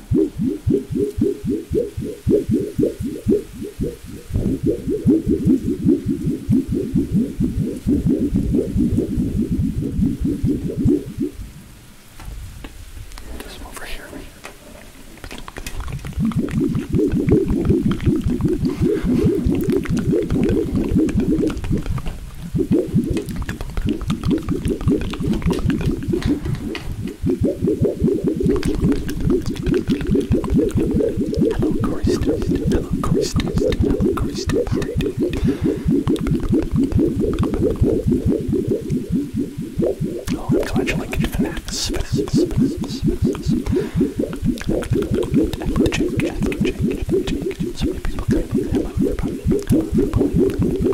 This one over here. Hello, Kristen. Hello, Kristen. Hello, Kristen. How are you doing? Oh, I'm glad you like it. Finance. Finance. Finance. Finance. Check, check, check, check, check. So many people claim I'm a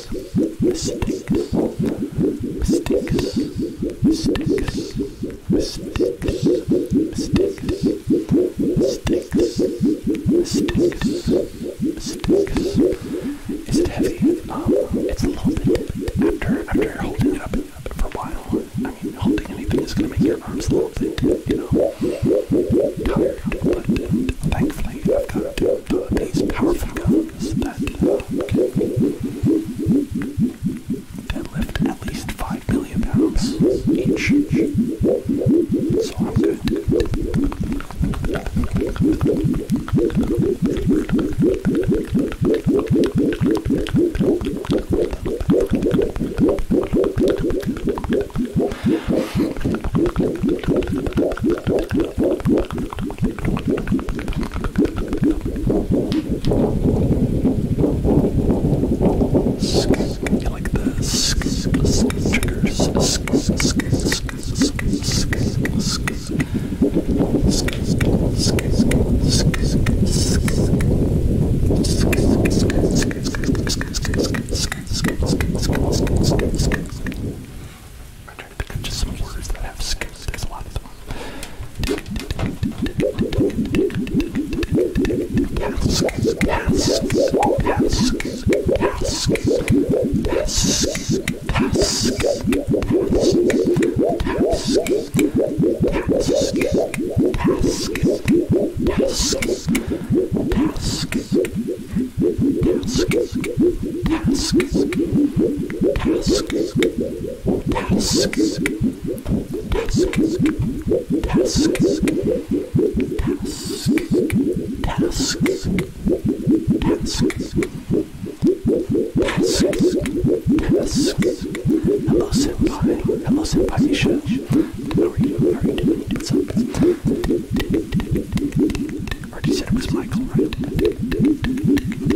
mistakes, mistakes, mistakes, mistakes, mistakes, mistakes, mistakes, mistakes. Is it heavy? it's a little bit after after holding it up for a while. I mean, holding anything is gonna make your arms a little bit, you know, tired. But thankfully, I've got these powerful guns that uh, can lift at least 5 million pounds each. So I'm good. You like the sk triggers? Sk sk sk sk sk sk sk I'm trying to think of just some words that have skips. There's a lot of them. Task, task, task, task, task, task, task, task, task, task, task, task, task, task, task, task, task, task, Hello senpai, hello senpai Isha. How are you? How are you doing? What's up? I already said it was Michael, right?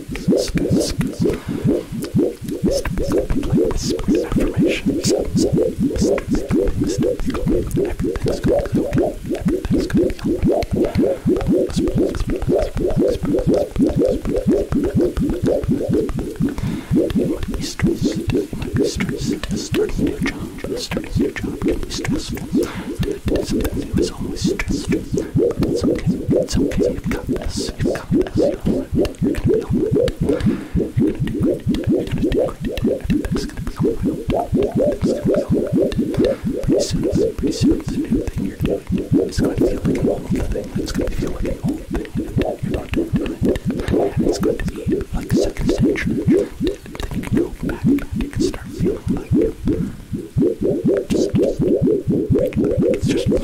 It's okay, it's okay, you've got this. You've become the best. Pretty soon, pretty soon, the new thing you're doing is going to feel like an old thing. It's going to feel like an old thing. You're not doing it. And it's going to be like a second century. Then you can go back, back. You can start feeling like just, just, it's just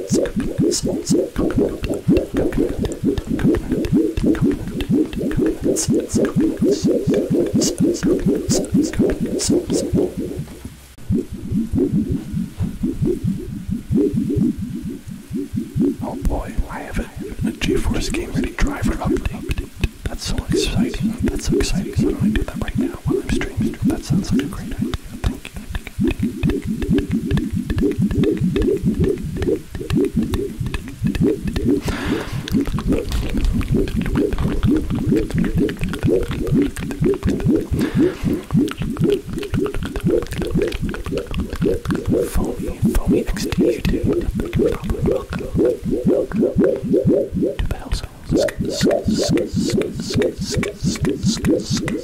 Oh boy, I have a, a GeForce Game Ready driver update. That's so exciting. That's so exciting. Why do do that right now while I'm streaming? That sounds like a great idea. Thank Foamy, foamy exterior, dude. But you probably look to battle zones.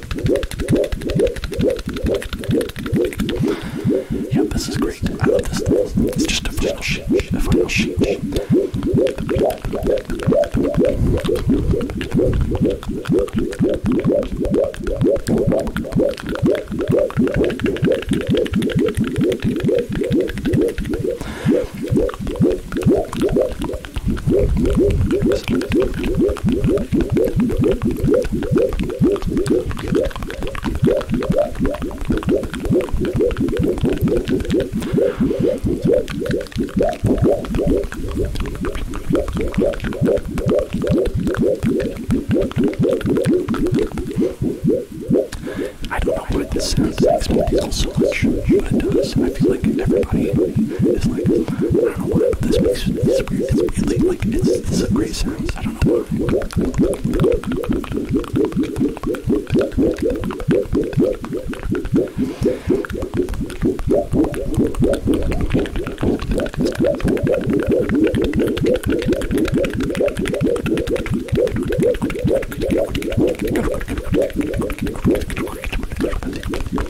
Yep, this is great. I love this. It's just a final sheet. A final sheet. I don't know what it sounds like, but it so much, but it does. I feel like everybody is like, I don't know why, but this makes it's weird. It's weirdly like it's, it's a great sound. I don't know why.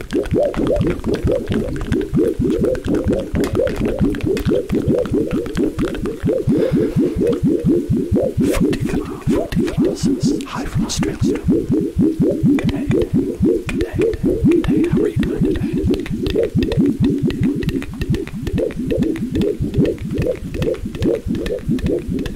Hi from Australia. Good day. Good day. Good day. How are you doing today? Good day. Good day.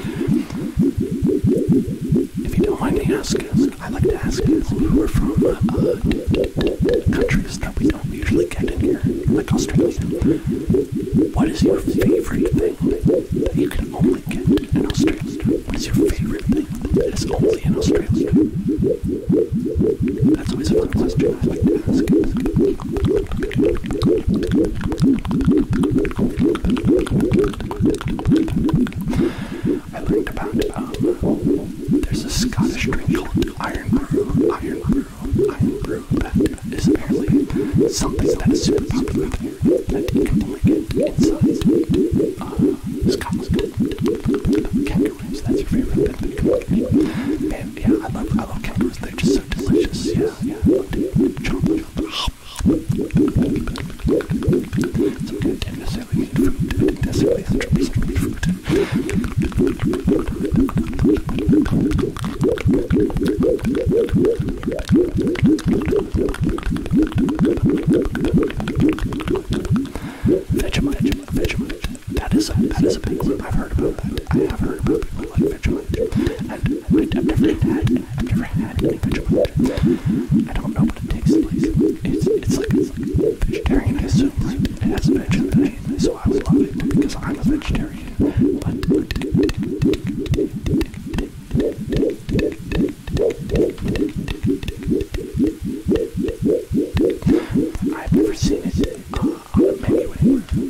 If you don't mind me asking, I like to ask people who are from uh, countries that we don't usually get in here, like Australia. What is your favorite thing that you can only get in Australia? What is your favorite thing that is only in Australia? That's always a fun question I I learned about, um, there's a Scottish drink called Iron Brew, Iron Brew, Iron Brew, that is apparently something that is super popular there, that you can only get inside uh, that's your favorite get. And yeah, I love, I love kangaroos, they're just so delicious, yeah, yeah, I love to Vegemite, Vegemite. That is a, that is a big group. I've heard about that. I have heard about people like Vegemite. I don't know what it tastes like. It's, like it's like vegetarian. I assume it has veg in it, so I would love it because I'm a vegetarian. But I've never seen it uh, on a menu anywhere.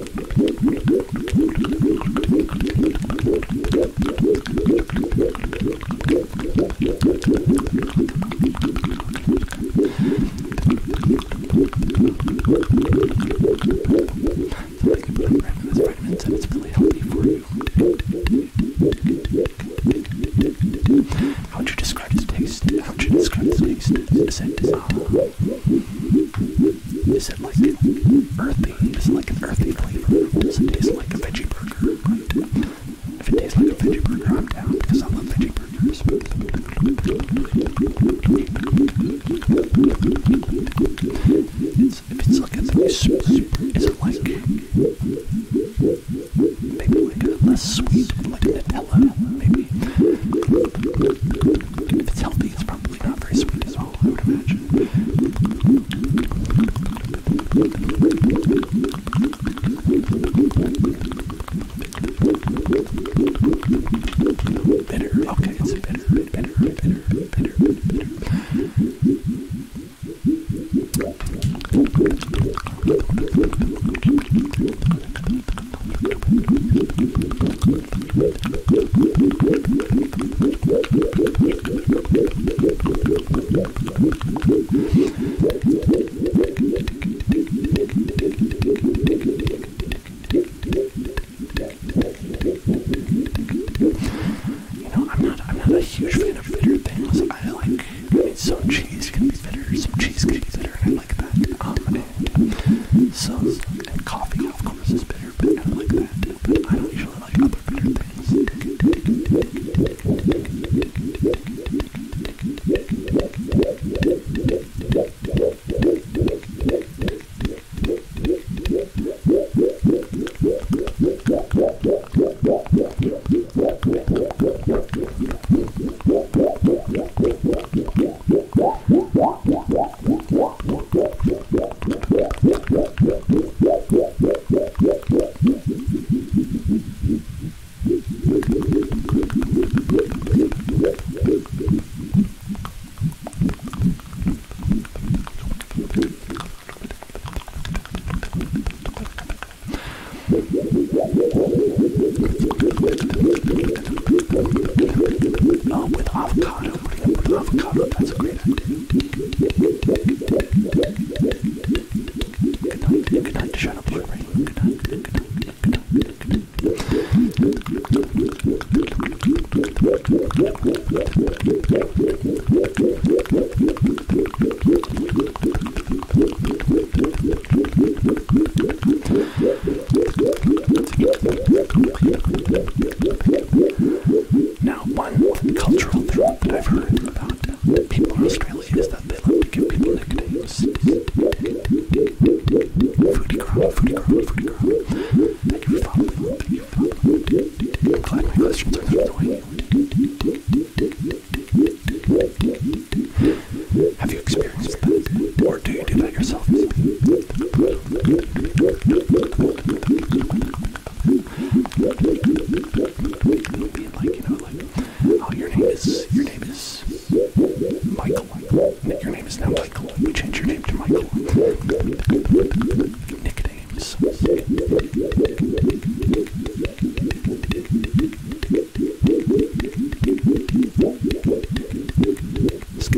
vitamins and it's really healthy for you. How would you describe its taste? How would you describe its taste? Scent is ah, is it like earthy? Is it like an earthy flavor? Does it taste like a veggie burger? If it tastes like a veggie burger, I'm down because I love veggie burgers. if it's like a very sweet, is it like maybe like a less sweet, like Nutella, maybe? If it's healthy, it's probably probably not very sweet as well, I would imagine. Bitter, okay, it's bitter, bitter, bitter, bitter, bitter. You know, I'm not I'm not a huge fan of bitter things. I like I mean some cheese can be bitter, some cheese can be bitter, and I like that. Um and, and sauce and coffee know, of course, is bitter, but I don't like that. But I don't usually like other bitter things. Not with avocado. putting up with avocado. That's a great idea. Good night to Shadow Blueberry. Good night, good night, good night, good night. Now, one cultural thing that I've heard about people in Australia is that they like to give people nicknames. Foodie girl, foodie girl, foodie girl. Thank you for following. Thank you for following. I'm glad my questions are not annoying. Have you experienced that? Or do you do that yourself? Being like, you know, like, oh, your name is, your name is Michael. Your name is now Michael. We change your name to Michael. Nicknames. Okay, so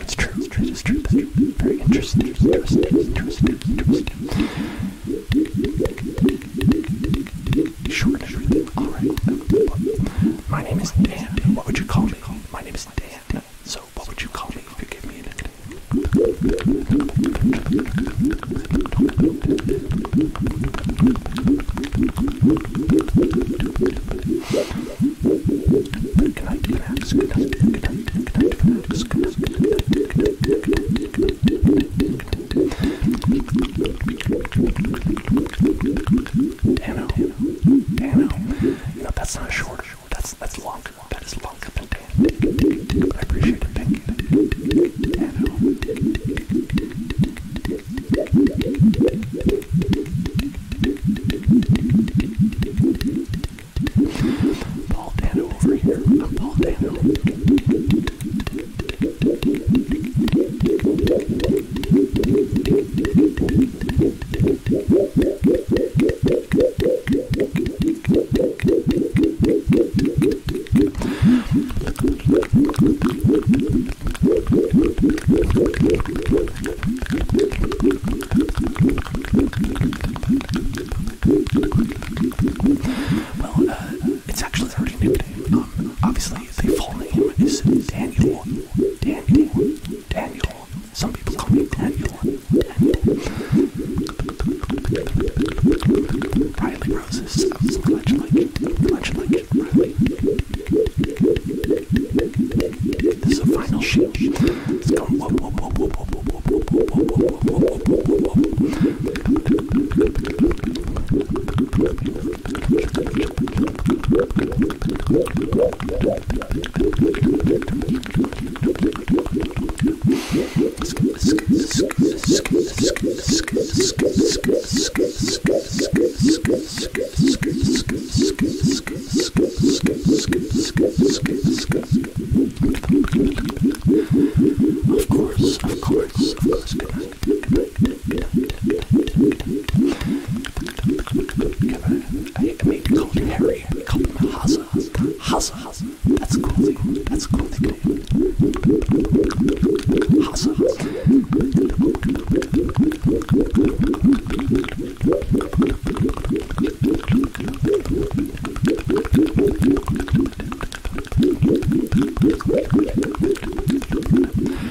it's true, it's true, it's true, it's true. Very interesting, interesting, interesting, interesting. Alright. My name is Dan. What would you call me? My name is Dan. So what would you call me if you gave me a nickname? Dano. Dano. No, that's not short. That's that's long. That is longer than Dan. But I appreciate it. Thank you. Dano. Paul Dano over here. I'm Paul Dano. Well, uh, it's actually a really new name. Um, obviously, the full name is Daniel Daniel, Daniel. Some people call me Daniel. Daniel. Riley Roses. I was clutch like, clutch like Riley. This is a final shoot. Of course, of course, of course. I made to call him Harry. I called him Haza. Haza. That's cool. That's cool nickname. Haza.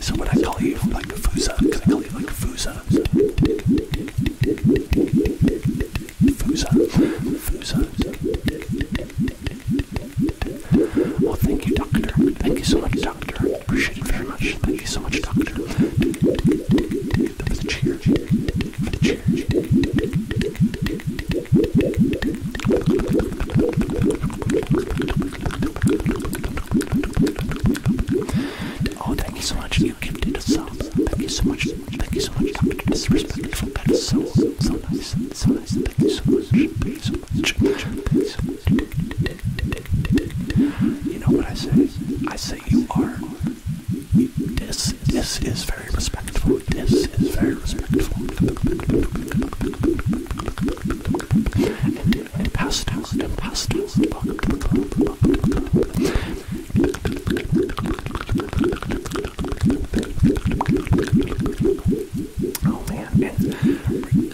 So when I call you like Fusa, because I call you like Fusa. Fusa. Fusa. Oh, thank you, doctor. Thank you so much, doctor. Appreciate it very much. Thank you so much, doctor. That was a cheer. For the cheer. Oh, thank you so much. You gifted a sub. Thank you so much. Thank you so much. Thank you so much. Thank you so much. Thank you so much. You know what I say? I say you are. This, this is very respectful. This is very respectful and pastors and pastors. Welcome to the club. Welcome to the club. Oh man, and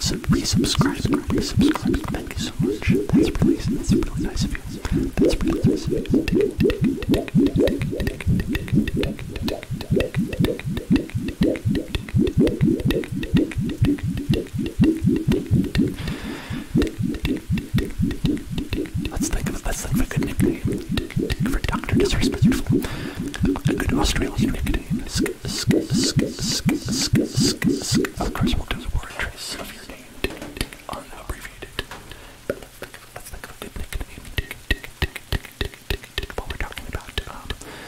sub resubscribe, resubscribe. Thank you so much. That's really, that's really nice of you. That's really nice of you. Let's think of let's think of a good nickname for Doctor Disrespectful. A good Australian nickname. Of course, we'll do the word trace of your name unabbreviated. Let's think of a good nickname. What we're talking about. Um,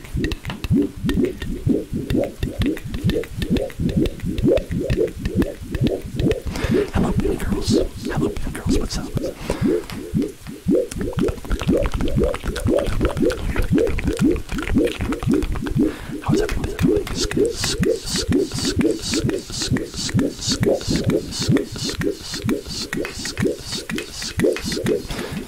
Hello, baby girls. Hello, baby girls. What's up? How's everything going?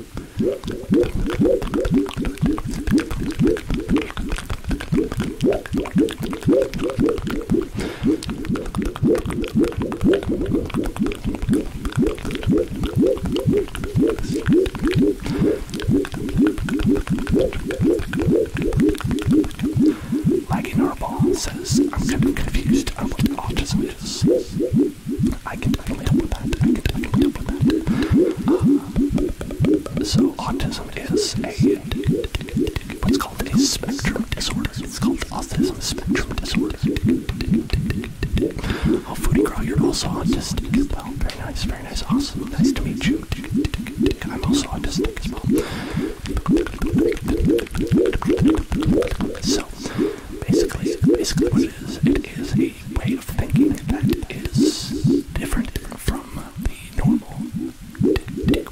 Like in our ball says, I'm kind of confused on what autism is. I can so autism is a what's called a spectrum disorder. It's called autism spectrum disorder. Oh, Foodie Girl, you're also autistic well. Very nice, very nice, awesome. Nice to meet you. I'm also autistic as well. So basically, basically what it is, it is way of thinking that is different from the normal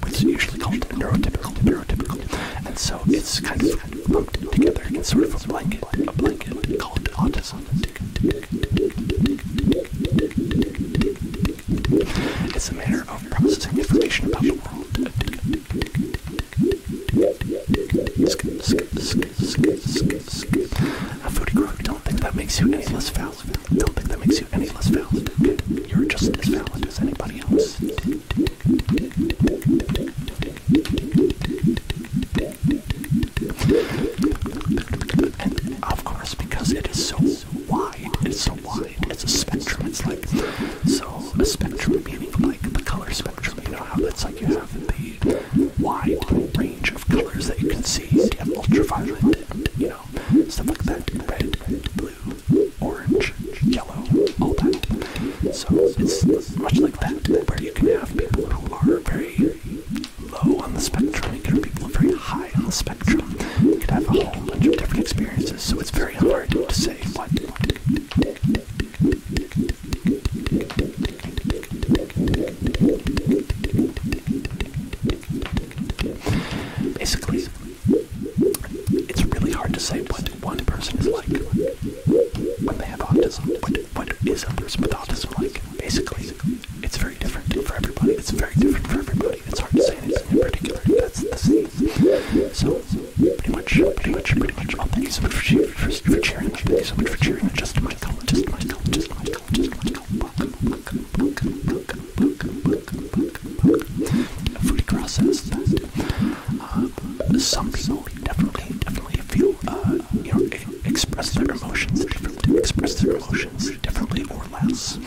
what's usually called neurotypical, neurotypical. And so it's kind of lumped together It's sort of a blanket, a blanket called autism. It's a manner of processing information about the world. A foodie crook, don't think that makes you any less valid. Don't think that makes you any less valid. You're just as valid as anybody else. And of course, because it is so wide, it's so wide, it's a spectrum. It's like, so a spectrum meaning like the color spectrum, you know how it's like you have the wide range of colors that you can see. You have ultraviolet, you know, stuff like that. Red, blue, orange, yellow, all that. So it's much like that, where you can have people who are very low on the spectrum, you can have people very high on the spectrum. You could have a whole bunch of different experiences, so it's very hard to say what. Basically, it's really hard to say what one person is like when they have autism. What, what is a person with autism like? Basically, it's very different for everybody. It's very different for everybody. It's hard to say anything in particular. That's the same. So, pretty much, pretty much, pretty much. Oh, thank you so much for, for, for cheering. Thank you so much for cheering. Just my some people definitely, definitely feel, uh, you know, express their emotions differently, express their emotions differently or less.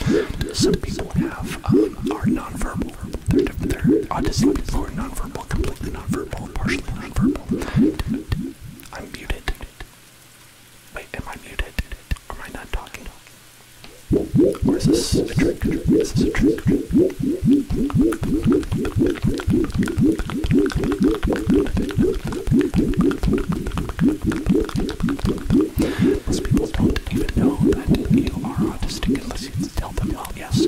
Some people have, uh, are nonverbal. They're, they're autistic people are nonverbal, completely nonverbal, partially nonverbal. I'm muted. Wait, am I muted? Or am I not talking? Or is this a trick? Is this a trick? Most people don't even know that you are autistic unless you tell them, well, yes.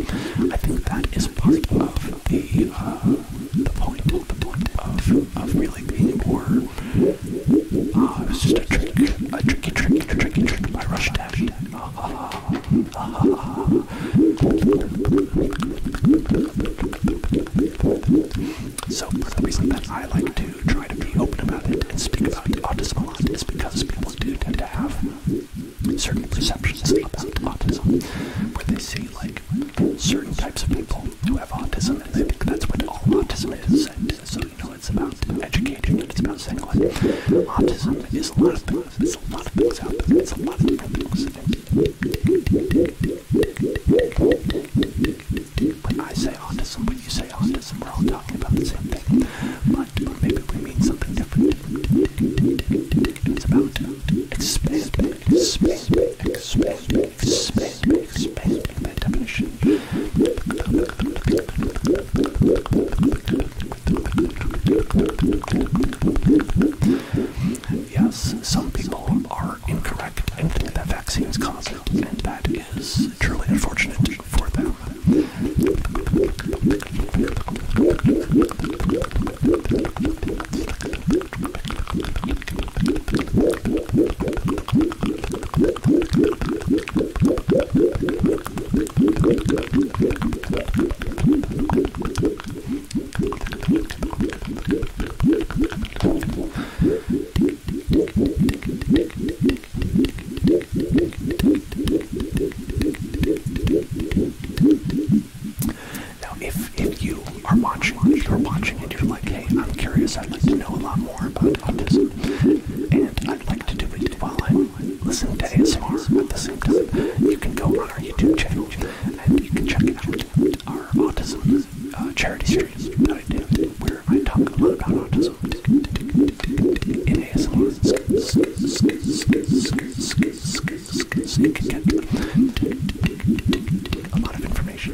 I think that is part of the, uh, the point, the point of, of really being more, uh, it was just a trick, a tricky, tricky, tricky trick by Rush Daddy. Ah, ah, ah, ah, So, the reason that I like to try to be open about it and speak about autism a lot is because people do tend to have certain perceptions about autism, where they see, like, certain types of people who have autism, and I think that's what all autism is. So, you know, it's about educating, and it's about saying, what oh, autism is a lot of things. It's a lot of things out there. It's a lot of different things. When I say autism, when you say autism, we're all talking about the same thing. But maybe we mean something different. It's about expanding, expanding, expanding. Yes, some people are incorrect and think that vaccines cause it, and that is truly unfortunate for them. Now, if if you are watching, you're watching, and you're like, hey, I'm curious, I'd like to know a lot more about autism, and I'd like to do it while I listen to ASMR at the same time, you can go on our YouTube channel, and you can check out our autism uh, charity series, where I talk a lot about autism in ASMR. It can get a lot of information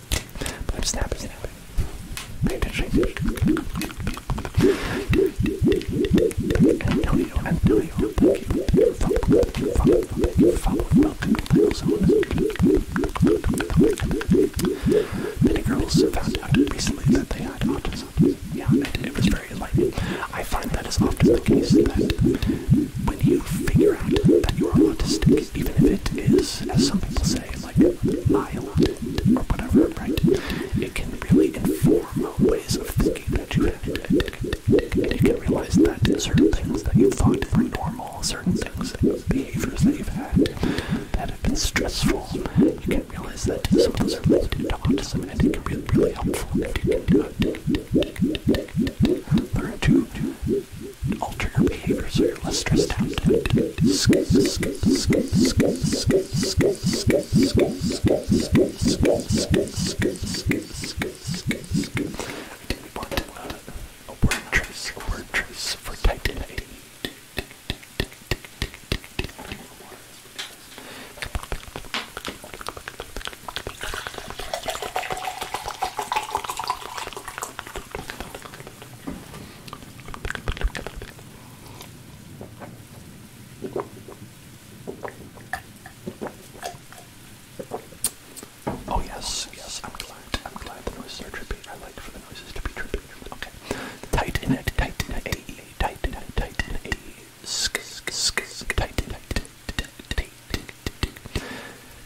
But I'm snapping, snapping. Pay Many girls found out recently that they had autism. Yeah, and it was very enlightening. I find that is often the case that when you figure out that you're autistic, even if it is, as some people say, like mild or whatever, right? It can really inform ways of thinking that you had. You can realize that certain things that you thought were normal, certain things, behaviors that you've had that have been stressful, you can realize that some of those are related to autism, and it can be really helpful. And you can learn to alter your behavior so you're less stressed out. I didn't want uh, a word trace, a word trace for Titan A. Oh yes, yes, I'm glad. I'm glad the noises are trippy. I like for the noises to be trippy. Okay. Tight in it, tight in it, a, tight in it, tight in it, sk, sk, sk, tight in it, tight,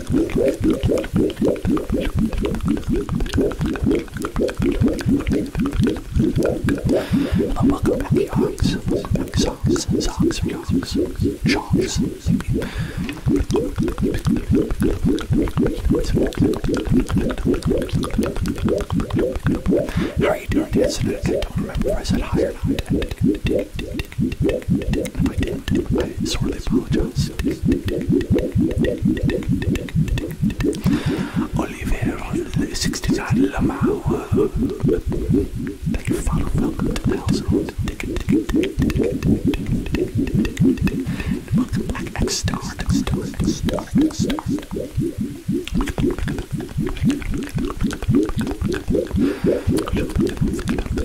But welcome back, yards, socks, socks, socks, sharks. How are you doing today? I don't remember. I said hi or not. I didn't, I apologize. Oliveira, 69 Lamau. Thank you, Welcome to the household. Welcome X Star, X Star, X Star, X Star.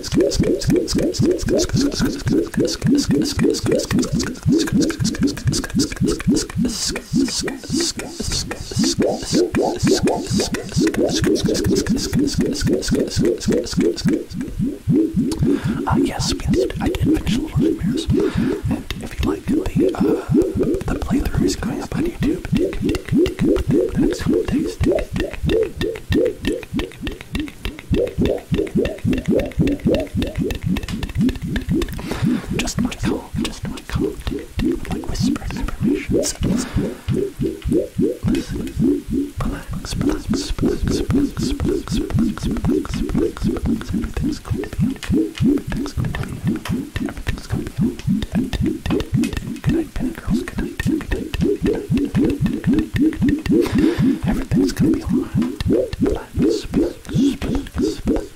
Uh, yes, I did finish Little Nightmares, and if you like the uh, the playthrough is going up on YouTube. The next couple days. Just my call, just my call. Like whispered affirmations. Relax, relax, relax, relax, relax, relax, relax, relax. Everything's going to be okay. Everything's going to be okay. Everything's going to be okay. Good night, penny girls. Good night, good night, good night, good night, good night. Everything's gonna be alright. Just breathe, breathe, breathe,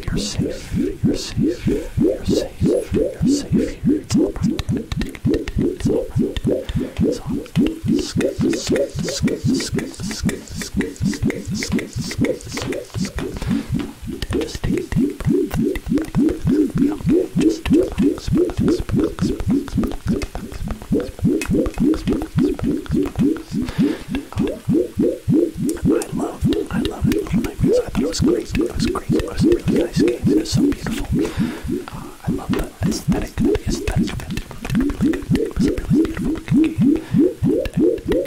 You're safe. You're safe. You're safe. You're safe. It's alright. It's alright. It's alright skip, skip, skip, skip, skip, skip, skip. Just take a deep breath. Deep, deep, deep, deep. Okay, just relax, relax, relax, relax, relax. I loved it. I loved it. Nightmares. I thought it was great. It was great. It was really nice game. It was so beautiful. Uh, I love the aesthetic. The aesthetic of it. It was really good. It was a really beautiful looking game. And, and,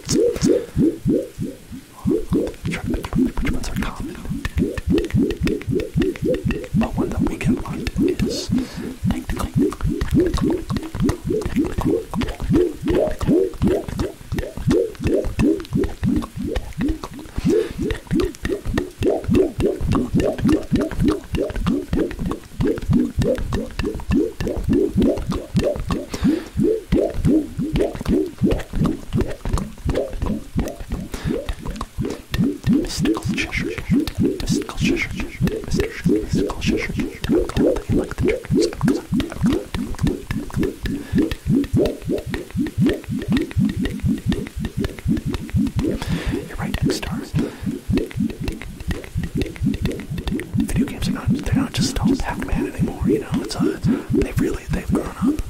Trying to think which ones are common. But one that we can find is technical mystical Cheshire, mystical Cheshire, mystical Cheshire, like the You're right, X stars. Video games are not—they're not just old Pac-Man anymore. You know, it's a, uh, they've really—they've grown up.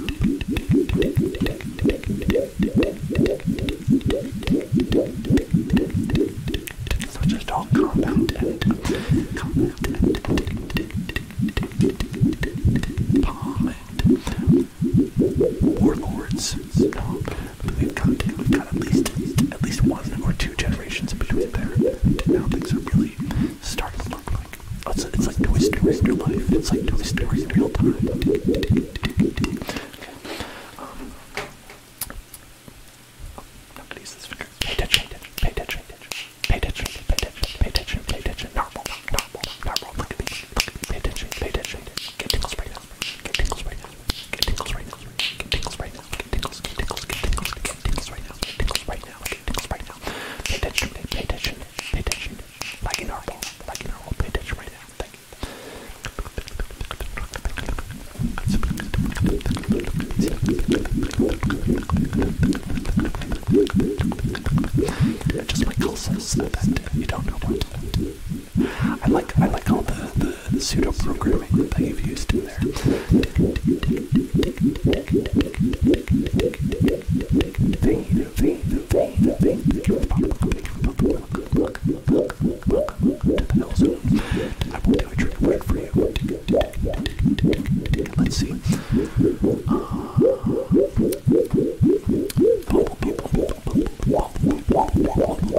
So just all compound and compound warlords. we've got we've got at least at least one or two generations iterations in between there. Now things are really starting to look like oh, it's, it's like Toy Story in real life. It's like Toy Story in real time. Okay. Um, oh, I'm gonna use this finger. Pay attention, pay attention, pay attention, pay attention, pay attention, pay attention, pay attention. Normal, normal, normal. Look at me, look at me. Pay attention, pay attention. Get tingles right now. Get tingles right now. Get tingles right now tingles, get right now, get tingles, get tingles, get tingles, get tingles right now, get right now, get tingles right now. Pay attention, pay attention, pay attention. Like in our like in our pay attention right now. Thank you. Just like you don't know what. I like I like all the, the pseudo programming that you've used. I will do a trick word for you. Let's see. Uh,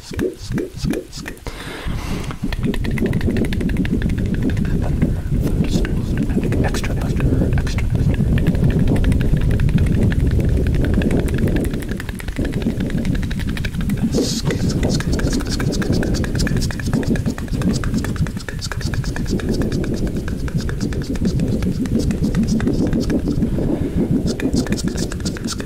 skit, skit, skit, skit. Thunder, thunderstorm, extra thunder, extra thunder. Skit, skit, skit, skit, skit, skit, skit, skit, skit, skit, skit, skit, skit, skit, skit, skit,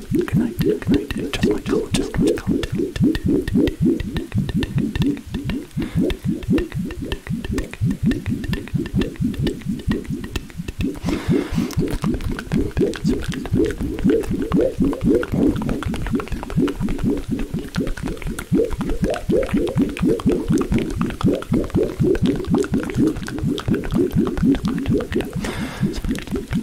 Good night. Good night. Just my color. Just my color.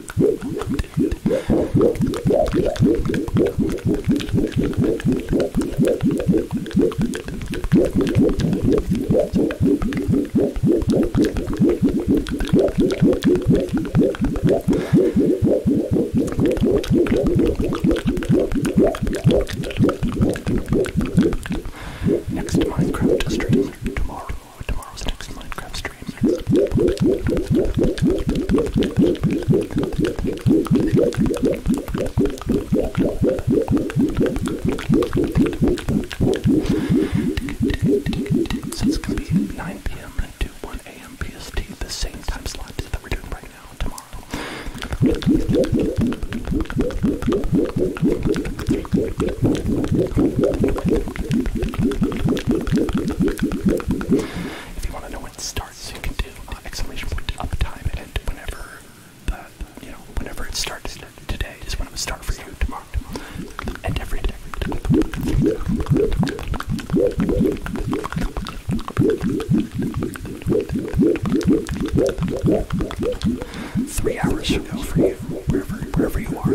Next Minecraft stream tomorrow. Oh, tomorrow's next Minecraft stream. it's going to be 9 p.m. to 1 a.m. PST, the same time slot that we're doing right now tomorrow. If you want to know when it starts, you can do uh, exclamation point up time and whenever you know whenever it starts today is when it would start for you tomorrow, and every day. Three hours from now, for you, wherever wherever you are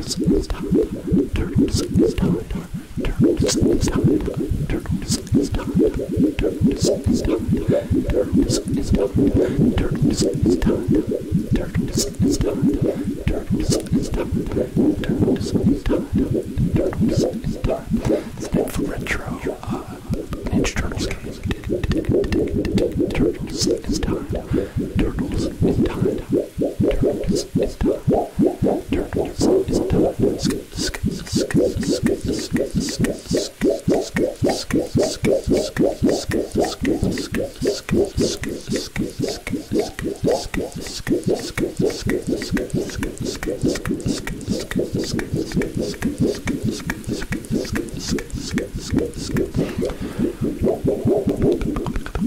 Turtles is time. Turtles is time. Turtles is done. Turtles is done. Skip, skip, skip, skip, skip, skip, skip, skip, skip, skip, skip,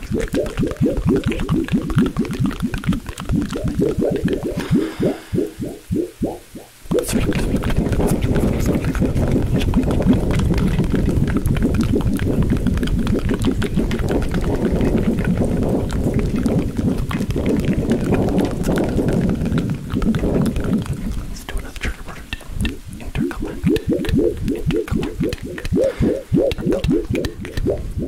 Let's do another trigger word. Interconnect. Interconnect. Interconnect.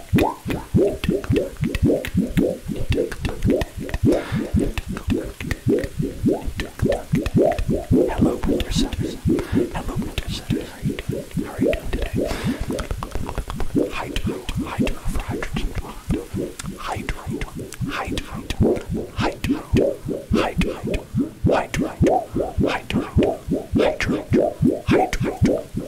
Hello, Winter Setters. Hello, Winter Setters. How are you doing? How are you doing today? Hydro, hydro for hydrogen Hydro, hydro, hydro, hydro, hydro, hydro, hydro, hydro, hydro, hydro.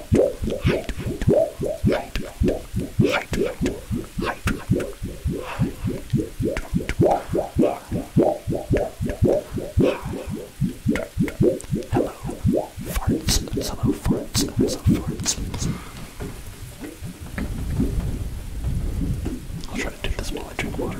I'll try to do this while I drink water.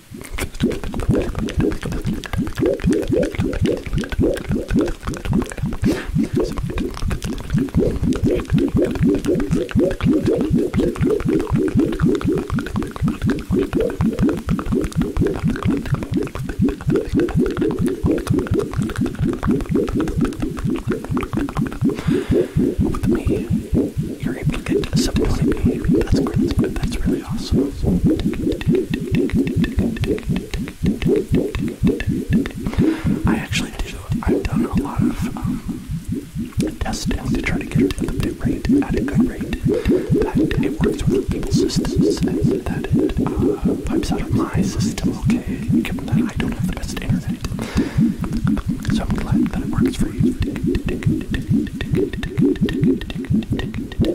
With me, you're able to get to something like me. That's great, that's great, that's really I actually do I've done a lot of um, testing to try to get it at the bit rate at a good rate that it works with people's systems and that it pipes uh, out of my system okay given that I don't have the best internet. So I'm glad that it works for you.